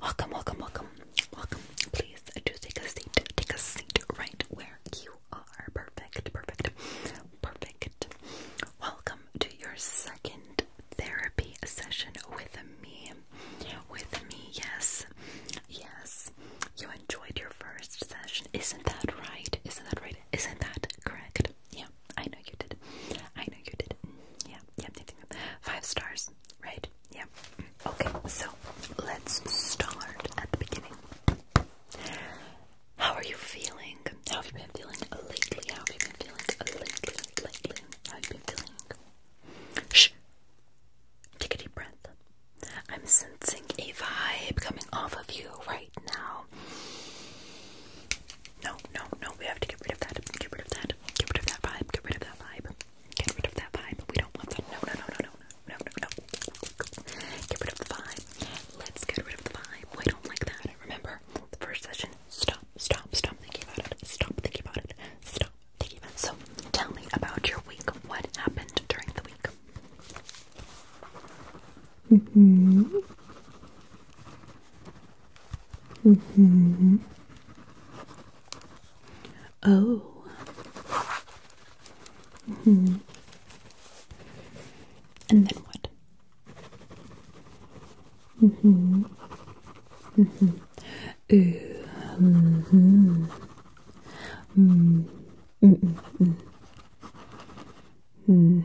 Welcome, welcome, welcome, welcome. Please do take a seat. Take a seat right where you are. Perfect, perfect, perfect. Welcome to your second therapy session with me. With me, yes. Yes. You enjoyed your first session. Isn't that right? Isn't that right? Isn't that correct? did. Yeah, I know you did. I know you did. Mm, yeah, yeah, five stars, right? Yeah. Okay, so let's start at the beginning. How are you feeling? How have you been feeling lately? How have you been feeling lately? Lately, how have you been feeling? Shh. Take a deep breath. I'm sensing a vibe coming off of you right right now. No, no, no, we have to get rid of that. Get rid of that. Get rid of that vibe. Get rid of that vibe. Get rid of that vibe. We don't want that. No, no, no, no, no, no, no, no. Get rid of the vibe. Let's get rid of the vibe. We don't like that. Remember, the first session, stop, stop, stop thinking about it. Stop thinking about it. Stop thinking about it. So, tell me about your week. What happened during the week? Mm-hmm. Mm-hmm. Oh. Mm-hmm. And then what? Mm-hmm. Mm-hmm. Mm-hmm. Mm-hmm. Mm-hmm. Hmm.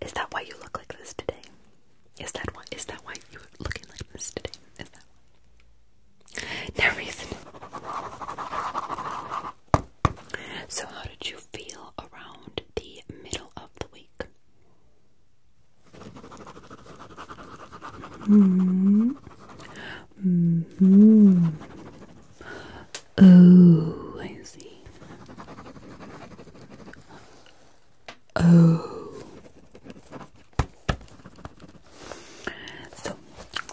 Is that why you look like this today? Is that why? Is that why you looking like this today? No reason. So, how did you feel around the middle of the week? -hmm. -hmm. Oh, I see. Oh. So,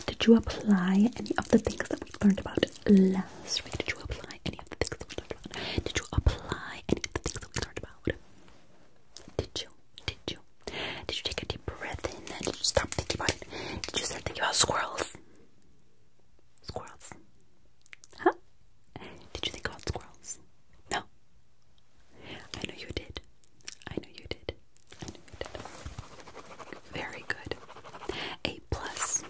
did you apply any of the things that we learned about last week? Did you apply any of the things that we learned about? Did you apply any of the things that we learned about? Did you? Did you? Did you take a deep breath in? Did you stop thinking about Did you start thinking about squirrels? Squirrels. Huh? Did you think about squirrels? No. I know you did. I know you did. I know you did. Very good. A plus.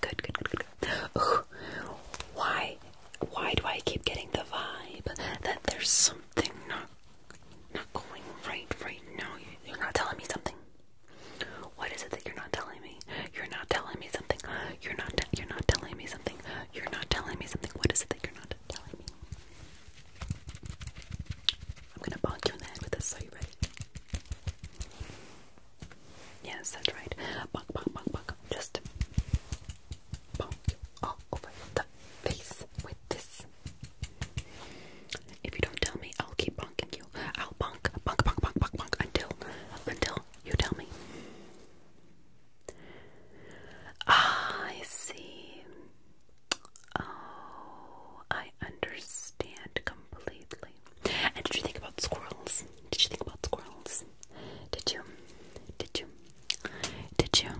Good, good, good, Why? Why do I keep getting the vibe that there's something not not going right right now. You're not telling me something. What is it that you're not telling me? You're not telling me something. You're not you're not telling me something. You're not telling me something. What is it that you're not telling me? I'm gonna bonk you in the head with this. Are you ready? Yes, that's right. Bonk, bonk, bonk, bonk. Just bonk you all over the face with this. If you don't tell me, I'll keep bonking you. I'll bonk, bonk, bonk, bonk, bonk, bonk until, until you tell me. I see. Oh, I understand completely. And did you think about squirrels? Did you think about squirrels? Did you? Did you? Did you?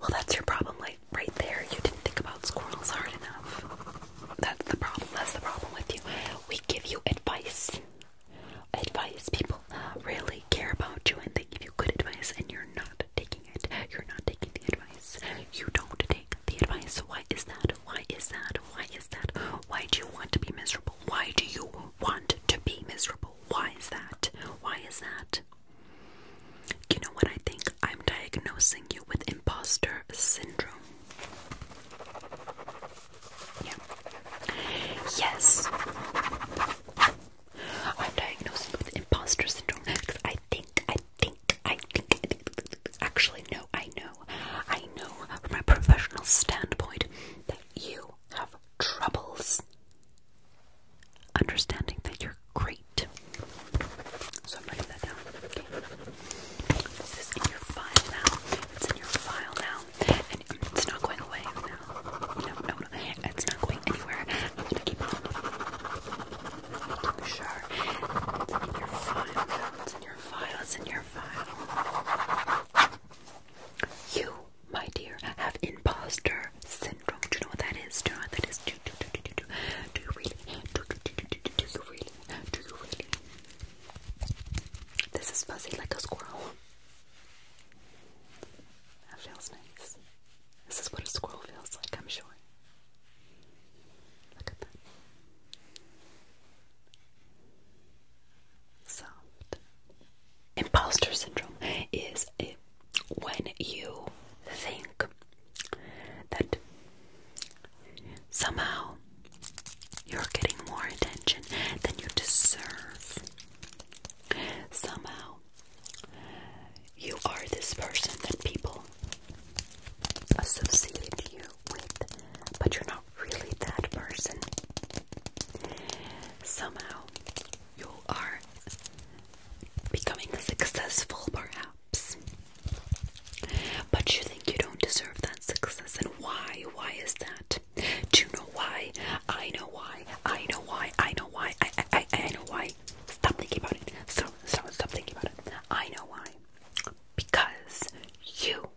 Well, that's your problem, like right there. You didn't think about squirrels hard enough. That's the problem. That's the problem with you. We give you advice. Advice. People really care about you and they give you good advice, and you're not taking it. You're not taking the advice. You don't take the advice. Why is that? Why is that? Why is that? Why do you want to be miserable? Why do you want to be miserable. Why is that? Why is that? You know what I think? I'm diagnosing you with imposter syndrome. Yeah. Yes. I'm diagnosed with imposter syndrome because I think, I think, I think, actually, no, I know, I know from my professional standpoint that you have troubles. Understanding that you're great. So I'm writing that down. This is in your file now. It's in your file now. And it's not going away now. No, no, no. It's not going anywhere. I'm gonna keep it on. Make sure. It's in your file. It's in your file. It's in your file. You my dear, have imposter syndrome. Do you know what that is? Do you know what that is? Do, you really? do you really? Do you really? This is fuzzy like a squirrel. That feels nice. This is what a squirrel feels like, I'm sure. Look at that. Imposter syndrome is when you think that somehow you're getting more attention than you deserve. Somehow you are this person that people associate you with, but you're not really that person. Somehow you are becoming successful, perhaps. But you think you don't deserve that success. And why? Why is that? Do you know why? I know why. I know why. I know why. I, I, I, know why. Stop thinking about it. Stop, stop, stop thinking about it. I know why. Because you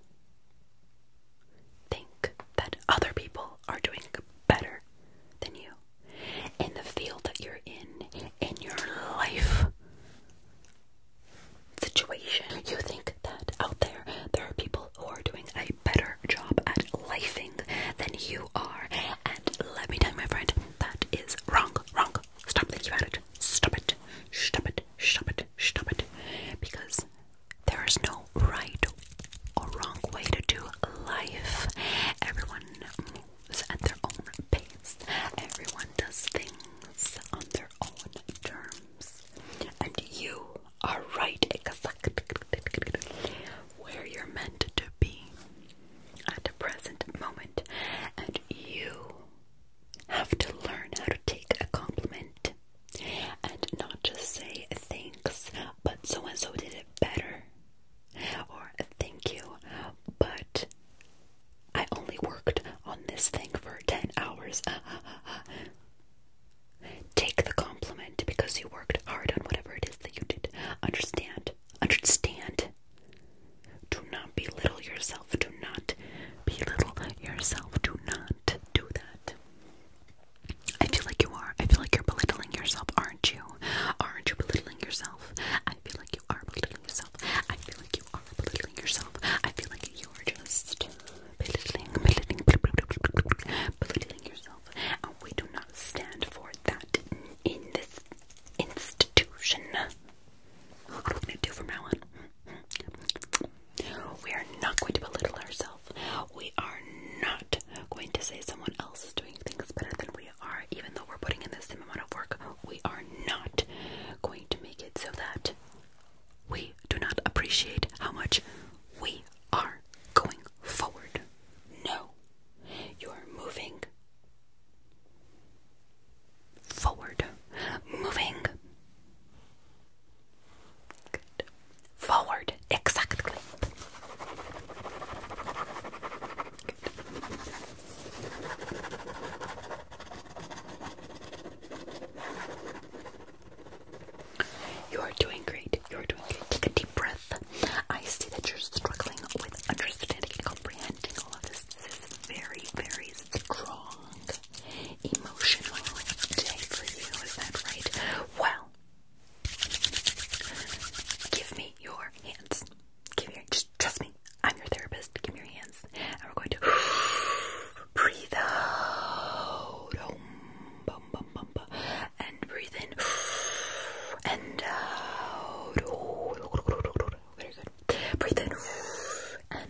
think that other people are doing better than you in the field that you're in, in your life situation. You think that out there there are people who are doing a better job at lifing than you are. And let me tell you, my friend, that is wrong, wrong. Stop thinking about it. Stop it. Stop it. Stop it. Stop it. Because there is no right or wrong way to do life. Everyone moves at their own pace. Everyone does things on their own terms. And you are right where you're meant to be at the present moment. And you have to learn how to take a compliment and not just say thanks, but so and so did it better, or thank you, but I only worked on this thing for 10 hours. Take the compliment because you worked hard on whatever it is that you did. Understand. Understand. Do not belittle yourself. Do not belittle yourself. Do not do that. I feel like you are. I feel like you're belittling yourself, aren't you? Aren't you belittling yourself? I feel like you are belittling yourself. I feel like you are belittling yourself. I feel like you are just belittling, belittling, belittling yourself. we do not stand for that in this institution. What are we gonna do from now we are not going to belittle ourselves. We are not going to say someone else is doing things better than we are, even though we're putting in the same amount of work. We are not going to make it so that we do not appreciate how much we are going forward. No, you are moving forward, moving Forward, exactly. You are doing great. You are doing great. Take a deep breath. I see that you're struggling with understanding comprehending all of this. This is very, very strong emotional day for you, is that right? Well, give me your hands. Give me your, just trust me. I'm your therapist. Give me your hands. And we're going to breathe out. bum, bum, bum, bum. And breathe in. And out. Very good. Breathe in.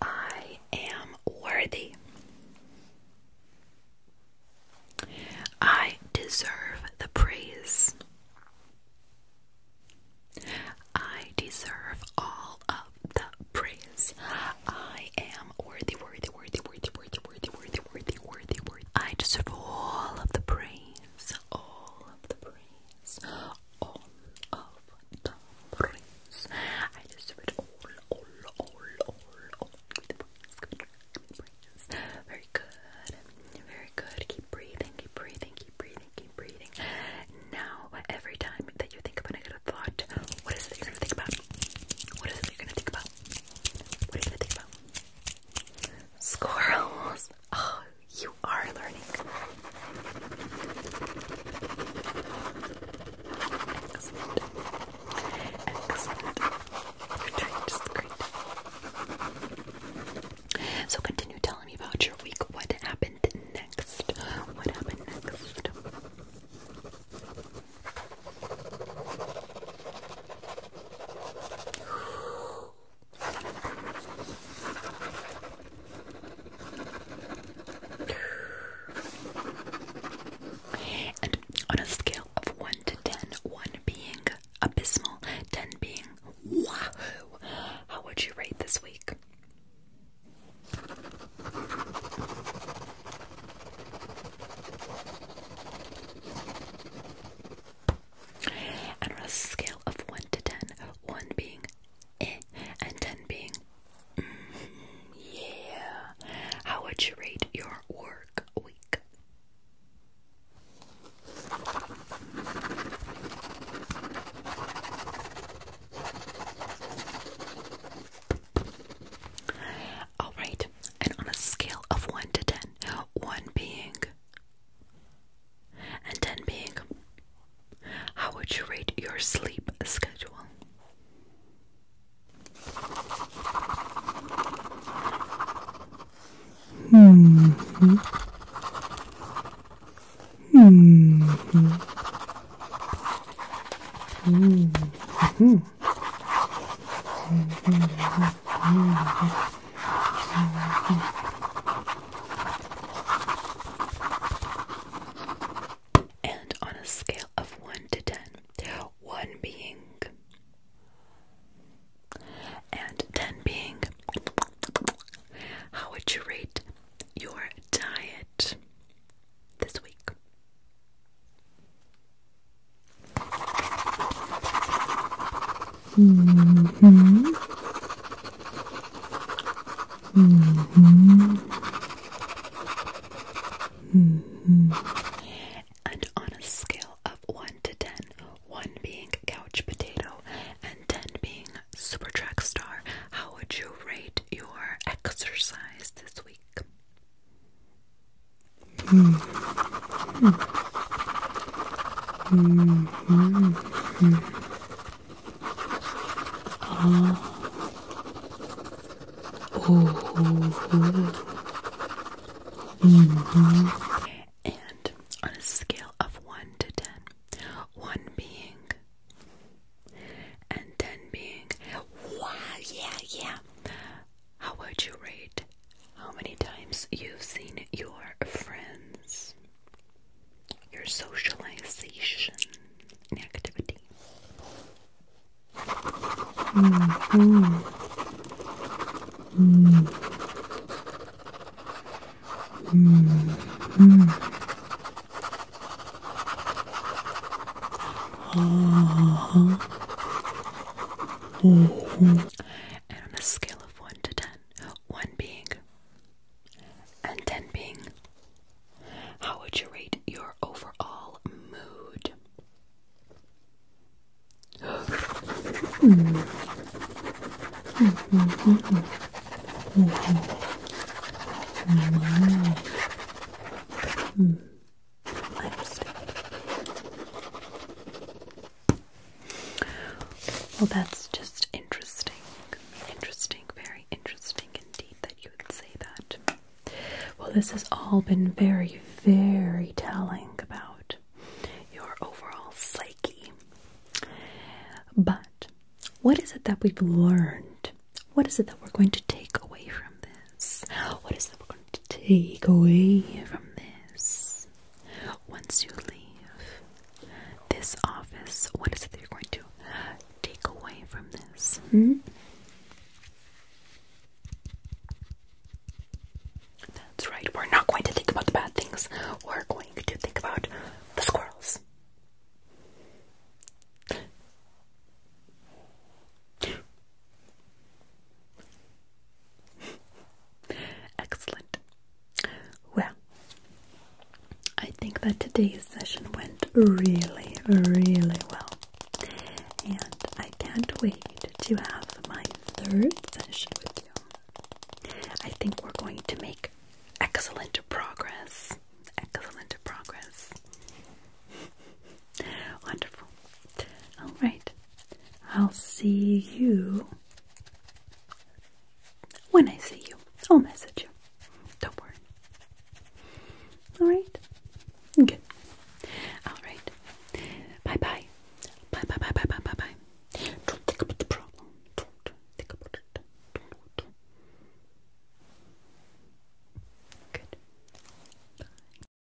I am worthy. I deserve the praise. I deserve all of the praise. I am worthy, worthy, worthy, worthy, worthy, worthy, worthy, worthy, worthy, I deserve all of the praise. All of the praise. All of I just it all, all, all, all, all Very good. Very good. Keep breathing, keep breathing, keep breathing, keep breathing. Now, every time that you think of a thought, what is it you're gonna think about? What is it you're gonna think about? What are you gonna think about? Squirrels. Oh, you are learning. So continue telling me about your week. What happened next? What happened next? on a scale of 1 to 10, 1 being abysmal, 10 being wahoo, how would you rate this week? on a scale of 1 to 10, being Eh, and 10 being mm, yeah. How would you rate your work week? All right, and on a scale of 1 to 10, 1 being and 10 being how would you rate your sleep schedule? and on a scale of 1 to 10, being and 10 being how would you rate your diet this week? Mm-hmm. -hmm. And on a scale of 1 to 10, being couch potato and 10 being super track star, how would you rate your exercise this week? Hmm. Hmm. Hmm. And on a scale of one to ten, one being and ten being wow, yeah, yeah. How would you rate how many times you've seen your friends? your socialization activity. Mm -hmm. Mm -hmm. Uh mm-hmm. -huh. And on a scale of 1 to 10, being and 10 being how would you rate your overall mood? I understand. Well, that's just interesting. Interesting, very interesting indeed that you would say that. Well, this has all been very, very telling about your overall psyche. But what is it that we've learned? What is it that we're going to take away from this? What is that we're going to take away from this? Once you leave this office, what is it that you're going to take away from this? Hmm? That's right, we're not going to think about the bad things, we're going to think about the squirrels. Excellent. Well, I think that today's session went really, really well, and I can't wait to have my third session with you. I think we're going to make excellent progress. Excellent progress. Wonderful. All right. I'll see you when I see you, I'll message you. Don't worry. Alright? Good. Alright. Bye bye. Bye bye bye bye bye bye bye. Don't think about the problem. Don't think about it. Don't. Good. Bye.